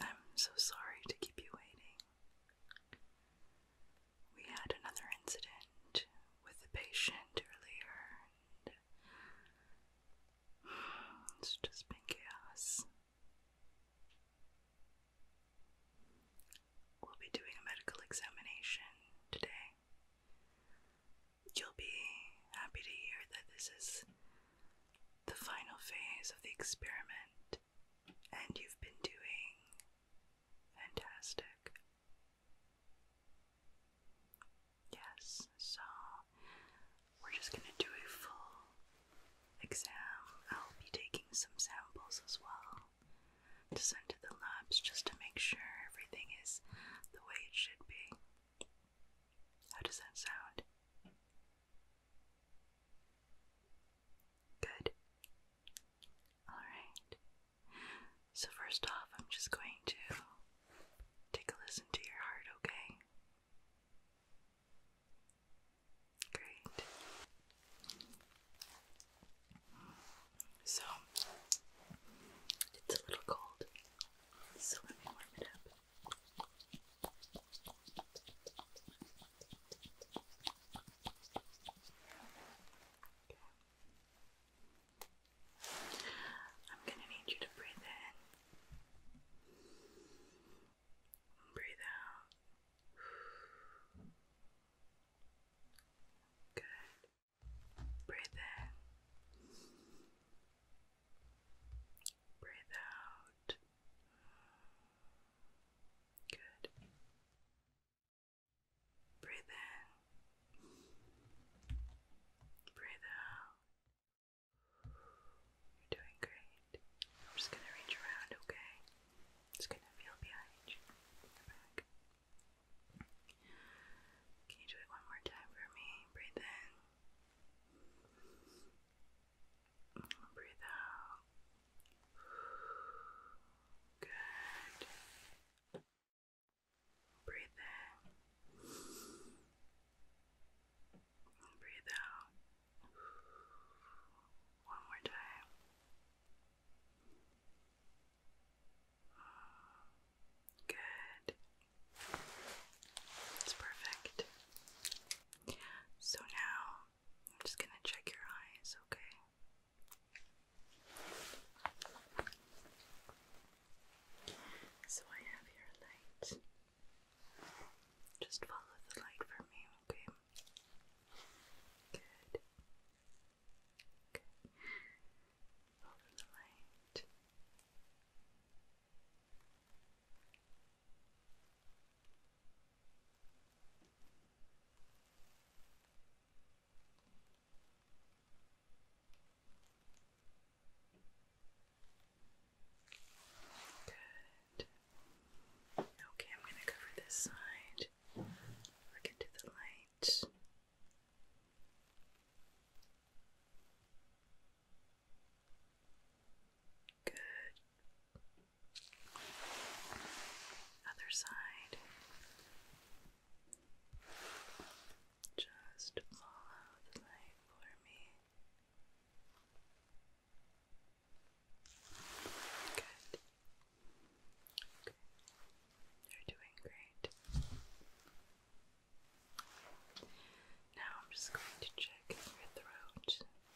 I'm so sorry to keep you waiting. We had another incident with a patient earlier, it's just been chaos. We'll be doing a medical examination today. You'll be happy to hear that this is the final phase of the experiment, and you've been doing fantastic. Yes, so we're just going to do a full exam. I'll be taking some samples as well to send to the labs just to make sure everything is the way it should be. How does that sound? Good. Alright. So, first off, I'm just going to take a listen to your heart, okay? Great. So, it's a little cold. So let me warm it up. I'm going to need you to breathe in, breathe out. Good. Breathe in. Breathe out. Good. Breathe in. Breathe out. You're doing great. I'm just gonna reach around, okay? It's gonna feel behind you. Back. Can you do it one more time for me? Breathe in. Breathe out. Good. Breathe in. breathe out. One more time. Good. That's perfect. So now I'm just going to check your eyes, okay? So I have your light. Just follow the light for me, okay? Good. Okay of the light. Good. Okay, I'm going to cover this side. Look into the light. Good. Other side. Just follow the light for me. Good. You're doing great. Now I'm just going to check your throat.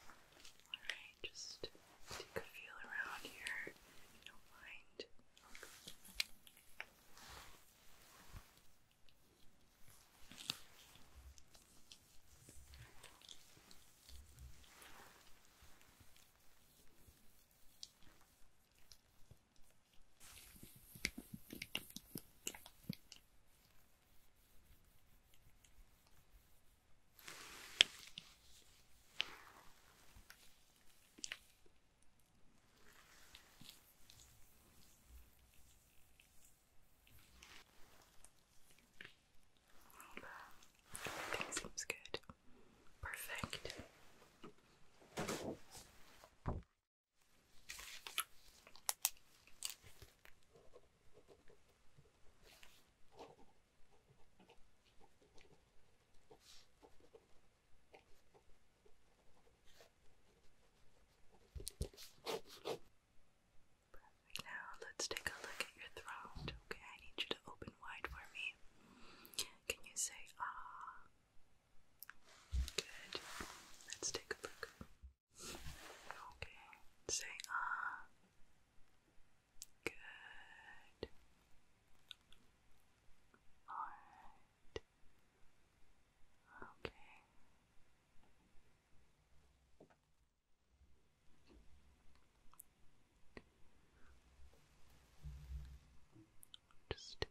Alright, just take a feel around here. don't mind. Everything seems good. Perfect. Now let's take a look at your throat. Okay, I need you to open wide for me. Can you say ah? Good. Let's take a look. Okay. Say ah. Good. Alright. Okay. Just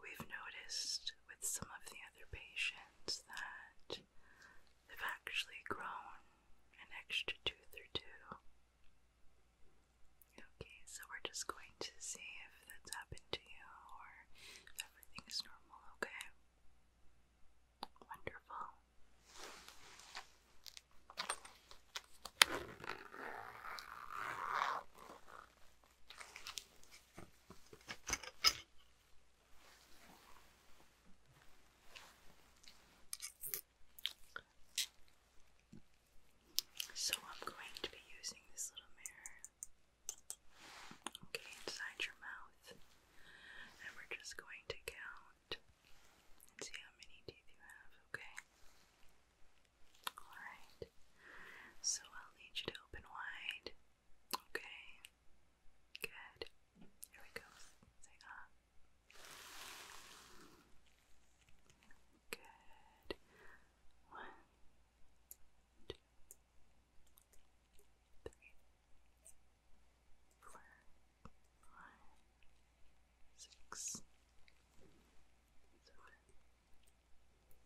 We've noticed with some of the other patients that they've actually grown an extra tooth or two. Okay, so we're just going to see if that's happened to you or if everything's normal, okay? Wonderful. So I'm going to be using this little mirror, okay, inside your mouth, and we're just going to count and see how many teeth you have, okay? Alright, so I'll need you to open wide Okay. Good. Here we go. Say ah. Good. One, two, three, four, five, six, seven, eight.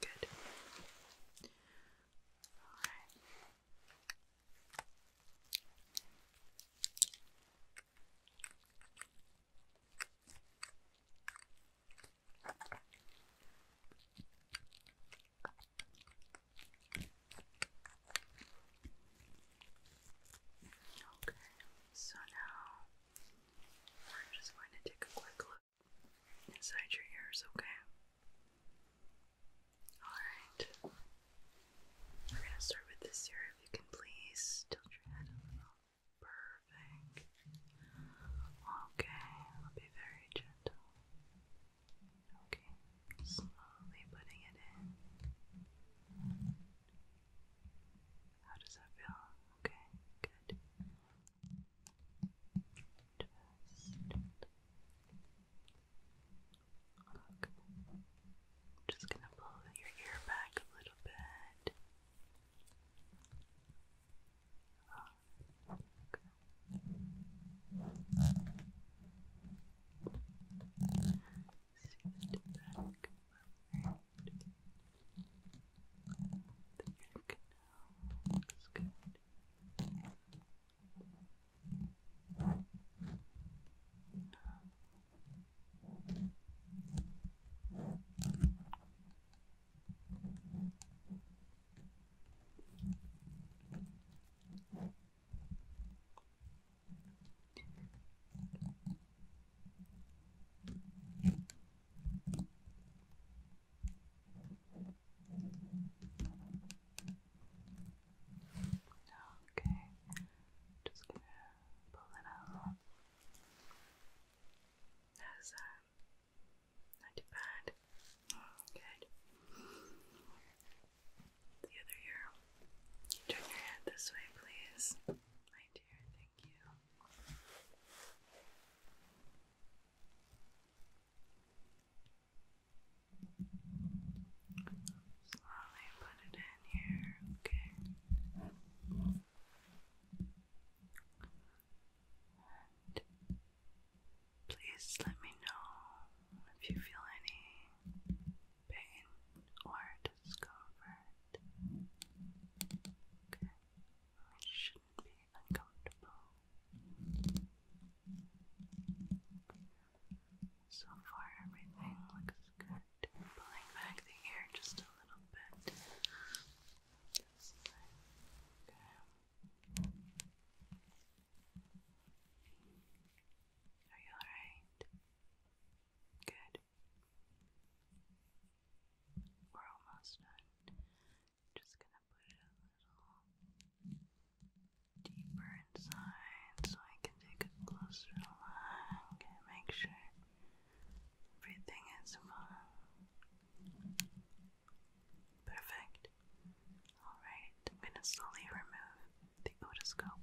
Good. All right. Okay, so now we're just going to take a quick look inside your ears, okay? Alright. We're gonna start with this here if you can please tilt your head Perfect. Okay, I'll be very gentle. Okay, slowly putting it in. How does that feel? Okay, good. Just look. Just gonna pull your ear back a little bit. Look. Back. The ear canal good. Okay, just gonna pull it out. That's um, not too bad. Good. The other ear. Turn your head this way, please. My dear, thank you. Slowly put it in here, okay. please let me know if you feel any pain or discomfort. Okay, uncomfortable. So far, everything looks good. Pulling back the hair just a little bit. okay. Are you alright? Good. We're almost done. Just gonna put it a little deeper inside so I can take a closer look and make sure everything is Perfect. Alright, I'm gonna slowly remove the otoscope.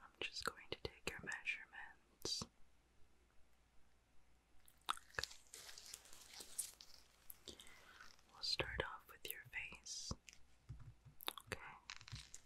I'm just going to take your measurements. We'll start off with your face. Okay.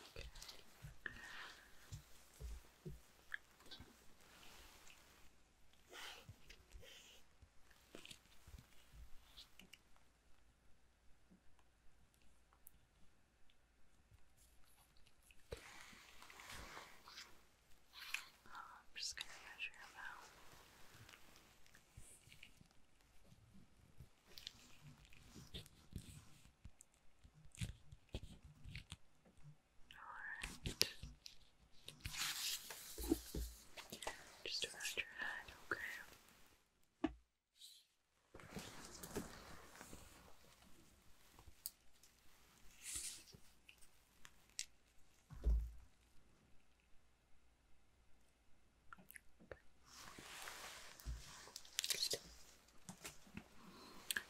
Okay. Oh, I'm just going to measure him out. Okay. Alright. Just around your head, okay?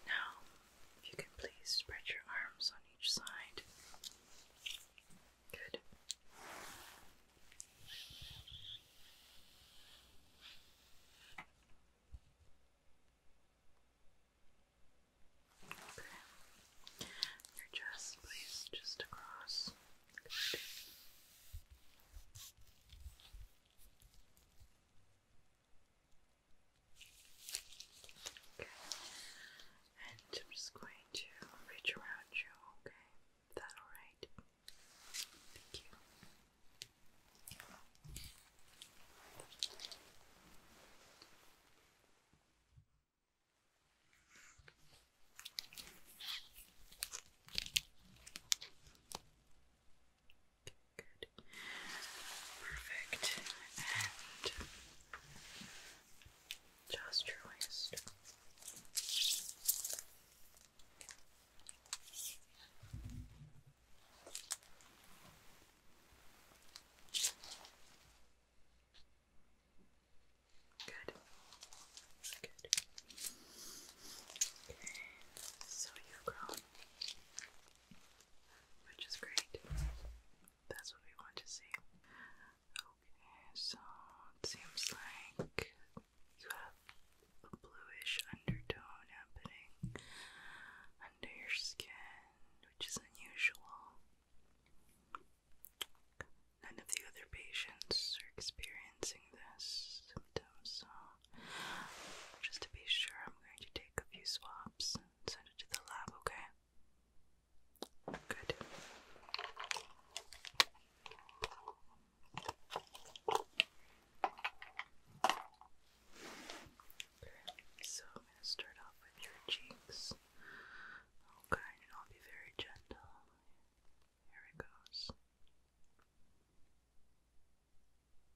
Now, you can please spread your arms on each side. Good. Your chest, please, just across. And I'm just going to reach around you, okay? Is that alright? Thank you. Good. Perfect. And just your Good. Good so you've grown, which is great. That's what we want to see. Okay, so it seems like you have a bluish undertone happening under your skin, which is unusual. None of the other patients are experiencing this symptom, just to be sure, I'm going to take a few swabs and send it to the lab, okay? Good. Okay, so I'm going to start off with your cheeks. Okay, and I'll be very gentle. Here it goes.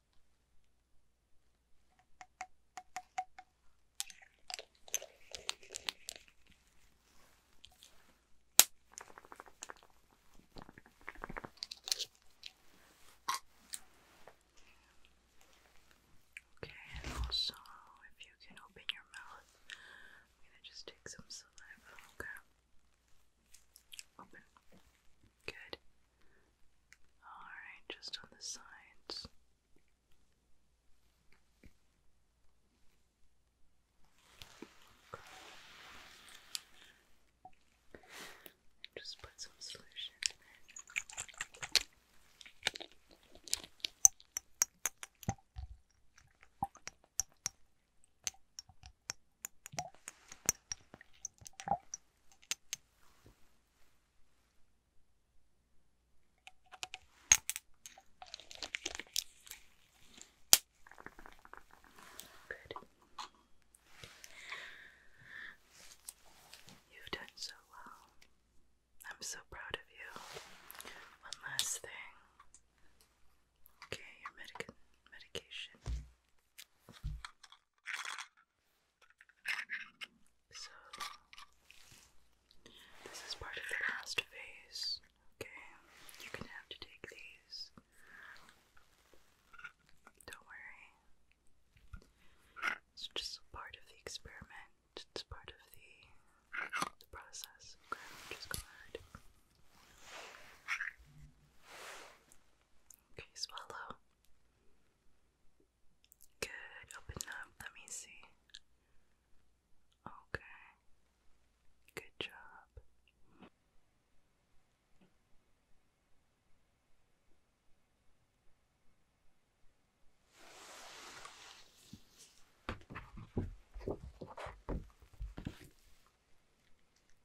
Okay, and also if you can open your mouth, I'm gonna just take some saliva, okay? Open. Good. Alright, just on the sides. Just put some solution in Good. You've done so well. I'm so proud of you. One last thing. Okay, your medic medication. So, this is part of the last phase. Okay, you're gonna have to take these. Don't worry. It's just part of the experiment. It's part of the, the process. just go ahead. Okay, swallow. Good, open up. Let me see. Okay. Good job.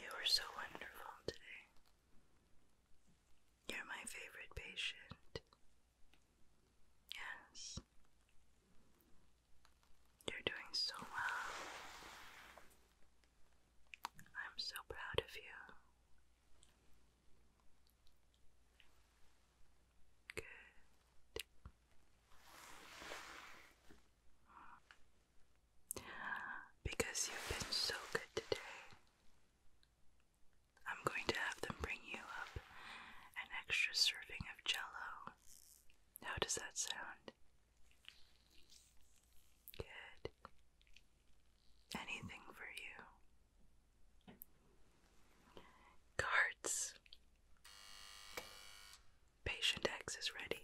You were so wonderful today. You're my favorite patient. Yes. You're doing so well. I'm so proud of you. Good. Because you've been so good today, I'm going to have them bring you up an extra serving of jello. How does that sound? Good. Anything for you. Guards. Patient X is ready.